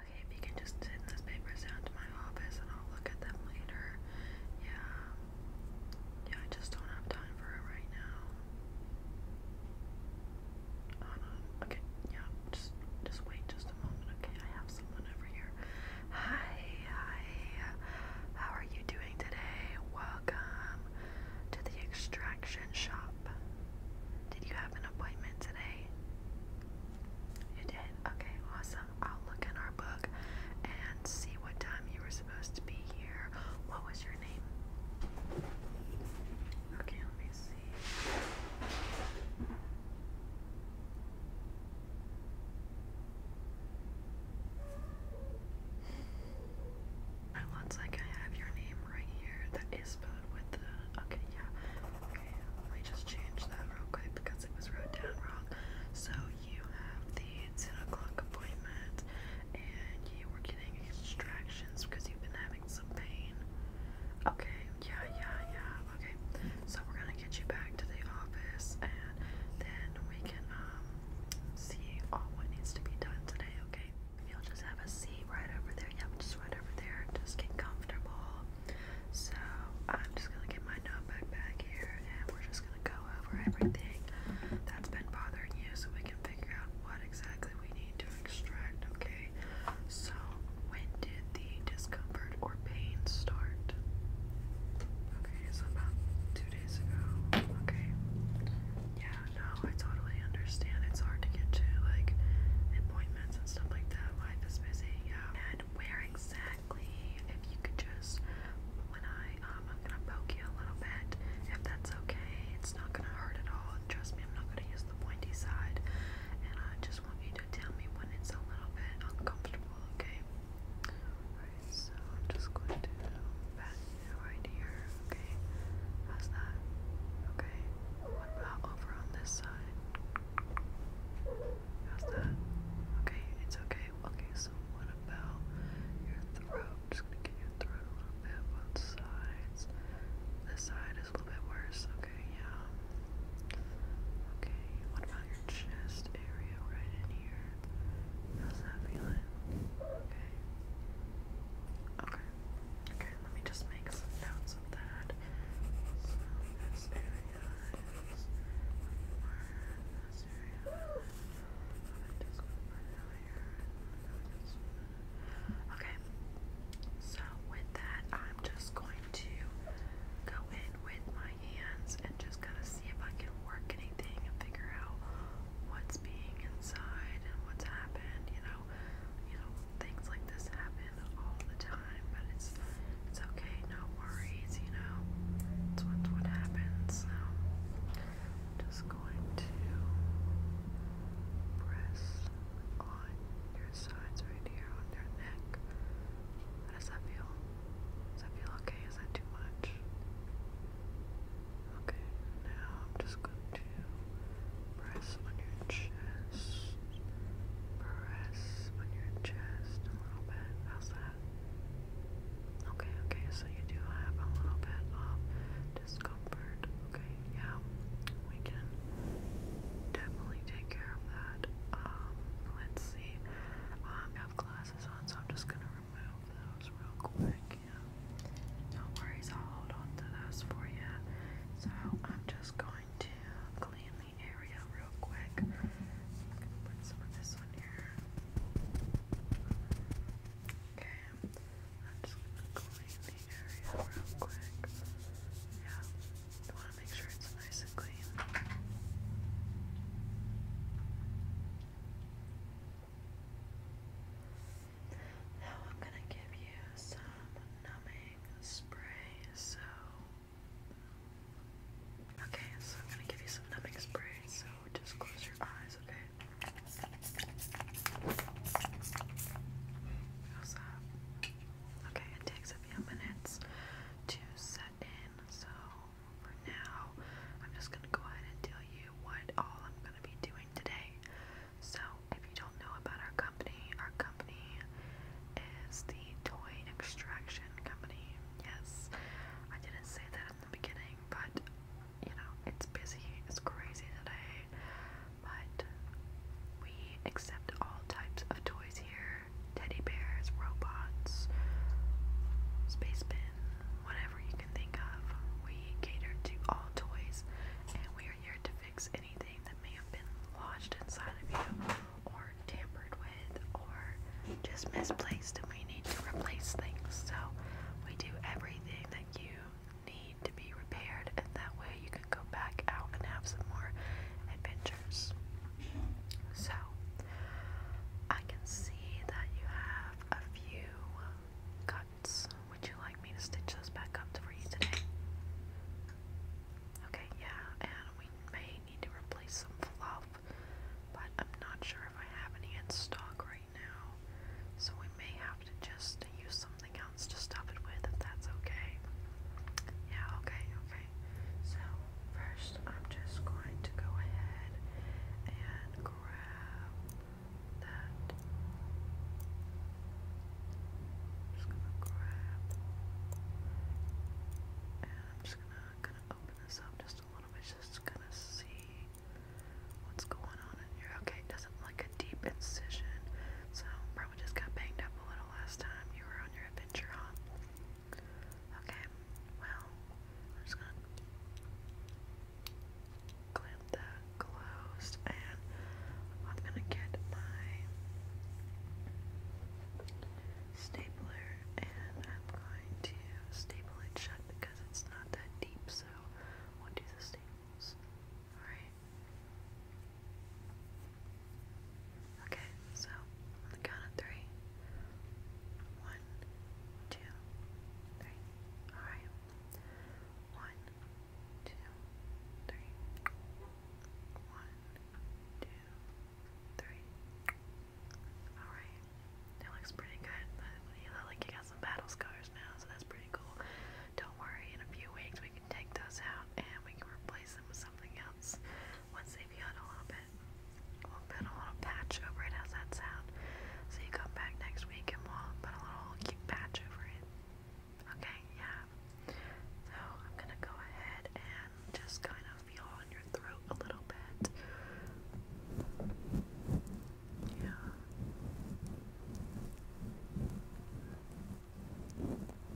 Okay, if you can just send those papers down to my office and I'll look at them later. Yeah. Yeah, I just don't have time for it right now. Um, okay, yeah, just just wait just a moment. Okay, I have someone over here. Hi, hi. How are you doing today? Welcome to the extraction shop. Did you have an appointment today? You did? Okay, awesome. I'll look in our book and see what time you were supposed to be here. What was your name? Okay, let me see. It looks like I have your name right here. That is spelled with the. Okay, yeah let me just change that real quick because it was wrote down wrong. So you have the 10 o'clock appointment and you were getting extractions because you've been having some pain. Okay, yeah, yeah, yeah. Okay, so we're gonna get you back to the office and then we can um see all what needs to be done today, okay? You'll just have a seat right over there there. I'm just right over there. Just get comfortable. So I'm just gonna get my notebook back here, and we're just gonna go over everything that's been bothering you, so we can figure out what exactly we need to extract. Okay. So when did the discomfort or pain start? Okay, so about two days ago. Okay. Yeah, no, I totally understand. It's hard to get to like appointments and stuff like that. Life is busy, yeah. And where exactly, if you could just, when I, um, I'm gonna poke you a little bit, if that's okay, it's not gonna hurt at all, trust me, I'm not gonna use the pointy side, and I just want you to tell me when it's a little bit uncomfortable, okay? Alright, so I'm just going to pat you right here, okay? How's that? Okay, what about over on this side? How's that? Okay, it's okay. Okay, so what about your throat? just gonna get your throat a little bit, both sides. This side is a little bit worse. Okay, yeah. Okay, what about your chest area right in here? How's that feeling? Okay. Okay. Okay, let me just make some notes of that. So Okay, so with that, I'm just going to go in with my hands and just kind of see if I can work anything and figure out what's being inside and what's happened, you know you know, things like this happen all the time, but it's it's okay, no worries, you know. It's what, what happens. So I'm just going to press on your sides right here on your neck. How does that feel? Does that feel okay? Is that too much? Okay, now I'm just going to press on your chest. Press on your chest a little bit. How's that? Okay, okay, so you do have a little bit of discomfort. Okay, yeah, we can definitely take care of that. Um, let's see. Um, I have glasses on, so I'm just gonna remove those real quick. Yeah, no worries, I'll hold on to those for you. So I'm just going to clean the area real quick. I'm gonna put some of this one here. Okay, I'm just going the area real quick. Yeah, you wanna make sure it's nice and clean. Now I'm gonna give you some numbing spray, so okay, so I'm gonna give you some numbing spray, so just close your eyes, okay? How's that? Okay, it takes a few minutes to set in, so for now, I'm just gonna go ahead and tell you what all I'm gonna be doing today. So if you don't know about our company, our company is the Toy Extraction Company. Yes, I didn't say that in the beginning, but you know, it's busy, it's crazy today, but we accept all types of toys here teddy bears, robots, space bin, whatever you can think of. We cater to all toys, and we are here to fix anything that may have been lodged inside of you, or tampered with, or just misplaced, and we need to replace things. So, we do everything that you need to be repaired, and that way you can go back out and have some more adventures. So, I can see that you have a few cuts. Would you like me to stitch those back up for you today? Okay, yeah, and we may need to replace some fluff, but I'm not sure if I have any in stock right now, so we may have to just use something else to stuff it with if that's okay. Yeah, okay, okay. So, first I'm just going to go ahead and grab that just gonna grab and I'm just gonna kinda open this up just a little bit just kinda see what's going on in here. Okay, doesn't like a deep incision. So probably just got banged up a little last time you were on your adventure, huh? Okay, well, I'm just gonna clamp that closed and I'm gonna get my stapler and I'm going to staple it shut because it's not that deep, so we'll do the staples. Alright. Okay, so on the count of three. One, two, three. Alright. One, two, Alright. That looks pretty good. You look like you got some battle scars now, so that's pretty cool. Don't worry, in a few weeks we can take those out and we can replace them with something else once they've healed a little bit. We'll put a little patch over it. How's that sound? So you come back next week and we'll put a little cute patch over it. Okay, yeah. So I'm gonna go ahead and just kind of feel on your throat a little bit. Yeah.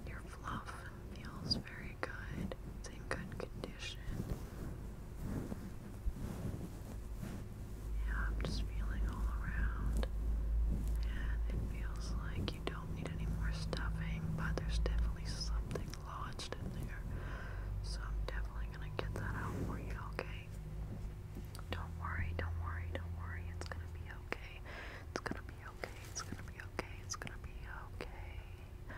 Your fluff feels very good. It's in good condition. Yeah, I'm just feeling all around, and it feels like you don't need any more stuffing, but there's definitely something lodged in there. So I'm definitely gonna get that out for you, okay? Don't worry, don't worry, don't worry. It's gonna be okay. It's gonna be okay. It's gonna be okay. It's gonna be okay.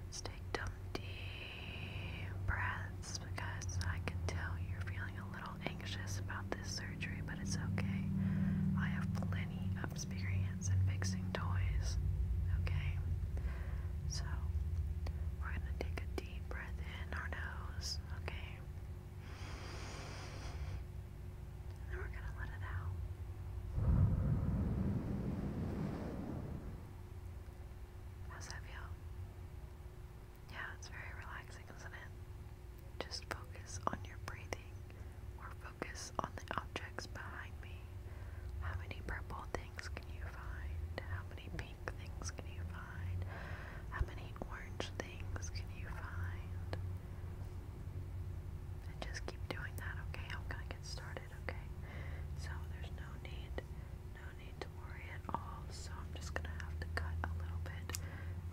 Let's take some deep breaths because I can tell you're feeling a little little anxious about this surgery, but it's okay. I have plenty of experience in fixing toys, okay? So, we're gonna take a deep breath in our nose, okay? then we're gonna let it out. How's that feel? Yeah, it's very relaxing, isn't it? Just focus on your breathing or focus on the objects behind me. How many purple things can you find? How many pink things can you find? How many orange things can you find? And just keep doing that, okay? I'm gonna get started, okay? So there's no need, no need to worry at all. So I'm just gonna have to cut a little bit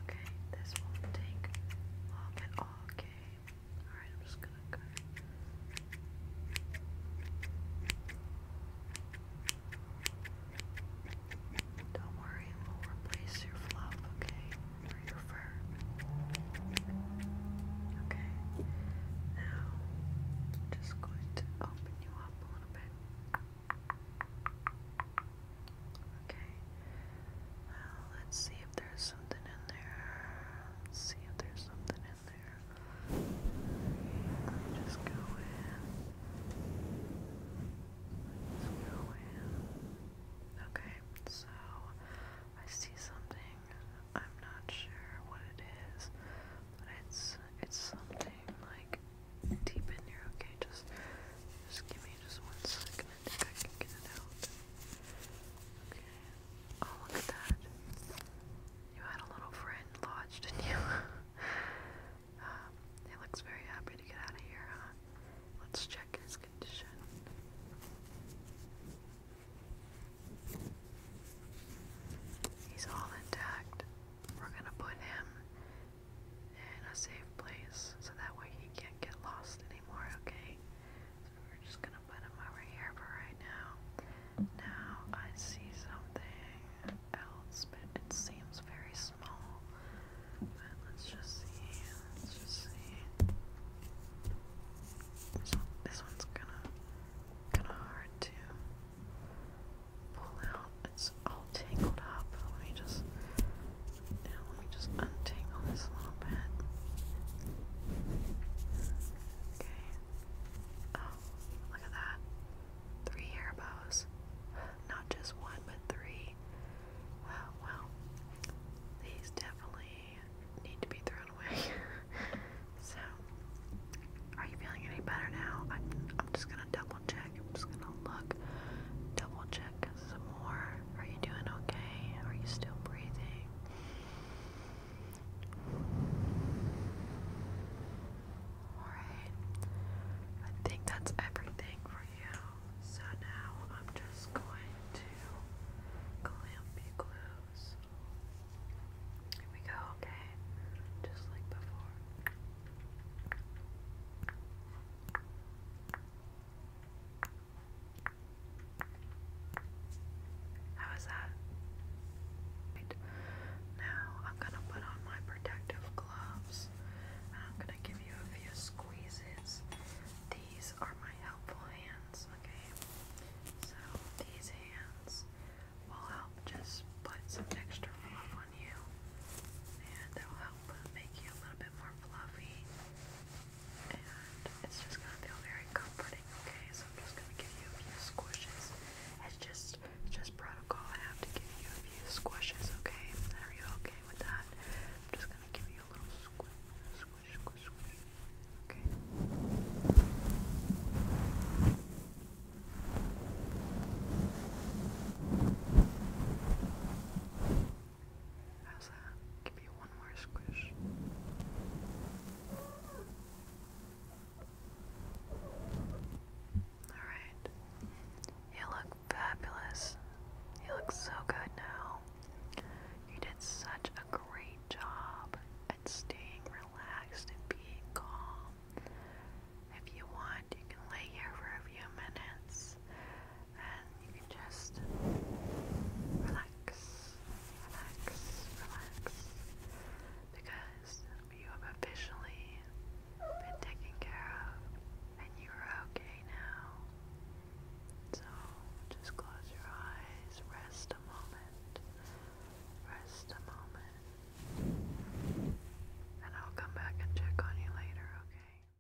Okay, this won't take long at all. Okay, alright, I'm just gonna go. Don't worry, we'll replace your fluff, okay? Or your fur. Okay, now I'm just going to open you up a little bit. Okay. Well, let's see if there's something in there. Let's see if there's something in there. Let me just go in. Let's go in. Okay, so I see something. I'm not sure what it is, but it's it's something like deep in here. Okay, just just give me just one second. Oh, look at that. You had a little friend lodged, did you? Um, he looks very happy to get out of here, Let's check his condition. He's all intact. We're gonna put him in a safe place so that way he can't get lost anymore, okay? we're just gonna put him over here for right now. Now I see something else, but it seems very small. let's just see. Let's see. this one's gonna kinda hard to pull out. It's all tangled up. Let me just let me just untangle this a little bit. Okay. Oh, look at that. Three hair bows. Not just one, but three. wow. These definitely need to be thrown away. so, are you feeling any better now? I'm, I'm just gonna double check. I'm just gonna look, double check some more. Are you doing okay? Are you still breathing? Alright. I think that's everything for you. So now I'm just going to clamp close. Here we go, okay? Just like before. How is that? Now I'm gonna put on my protective gloves I'm gonna give you a few squeezes. These are my helpful hands, okay? So these hands will help just put some extra fluff on you and they'll help make you a little bit more fluffy, and it's just gonna feel very comforting. Okay, so I'm just gonna give you a few squishes. It's just, just protocol. I have to give you a few squishes. Okay, are you okay with that? I'm just gonna give you a little squish, squish, squish, squish. Okay, How's that? Give you one more squish. Alright. You look fabulous. You look so good now. You did such a great job at staying relaxed and being calm. If you want, you can lay here for a few minutes and you can just relax, relax, relax because you have officially been taken care of and you are okay now. So just close your eyes, rest a moment, rest a moment, and I'll come back and check on you later, okay?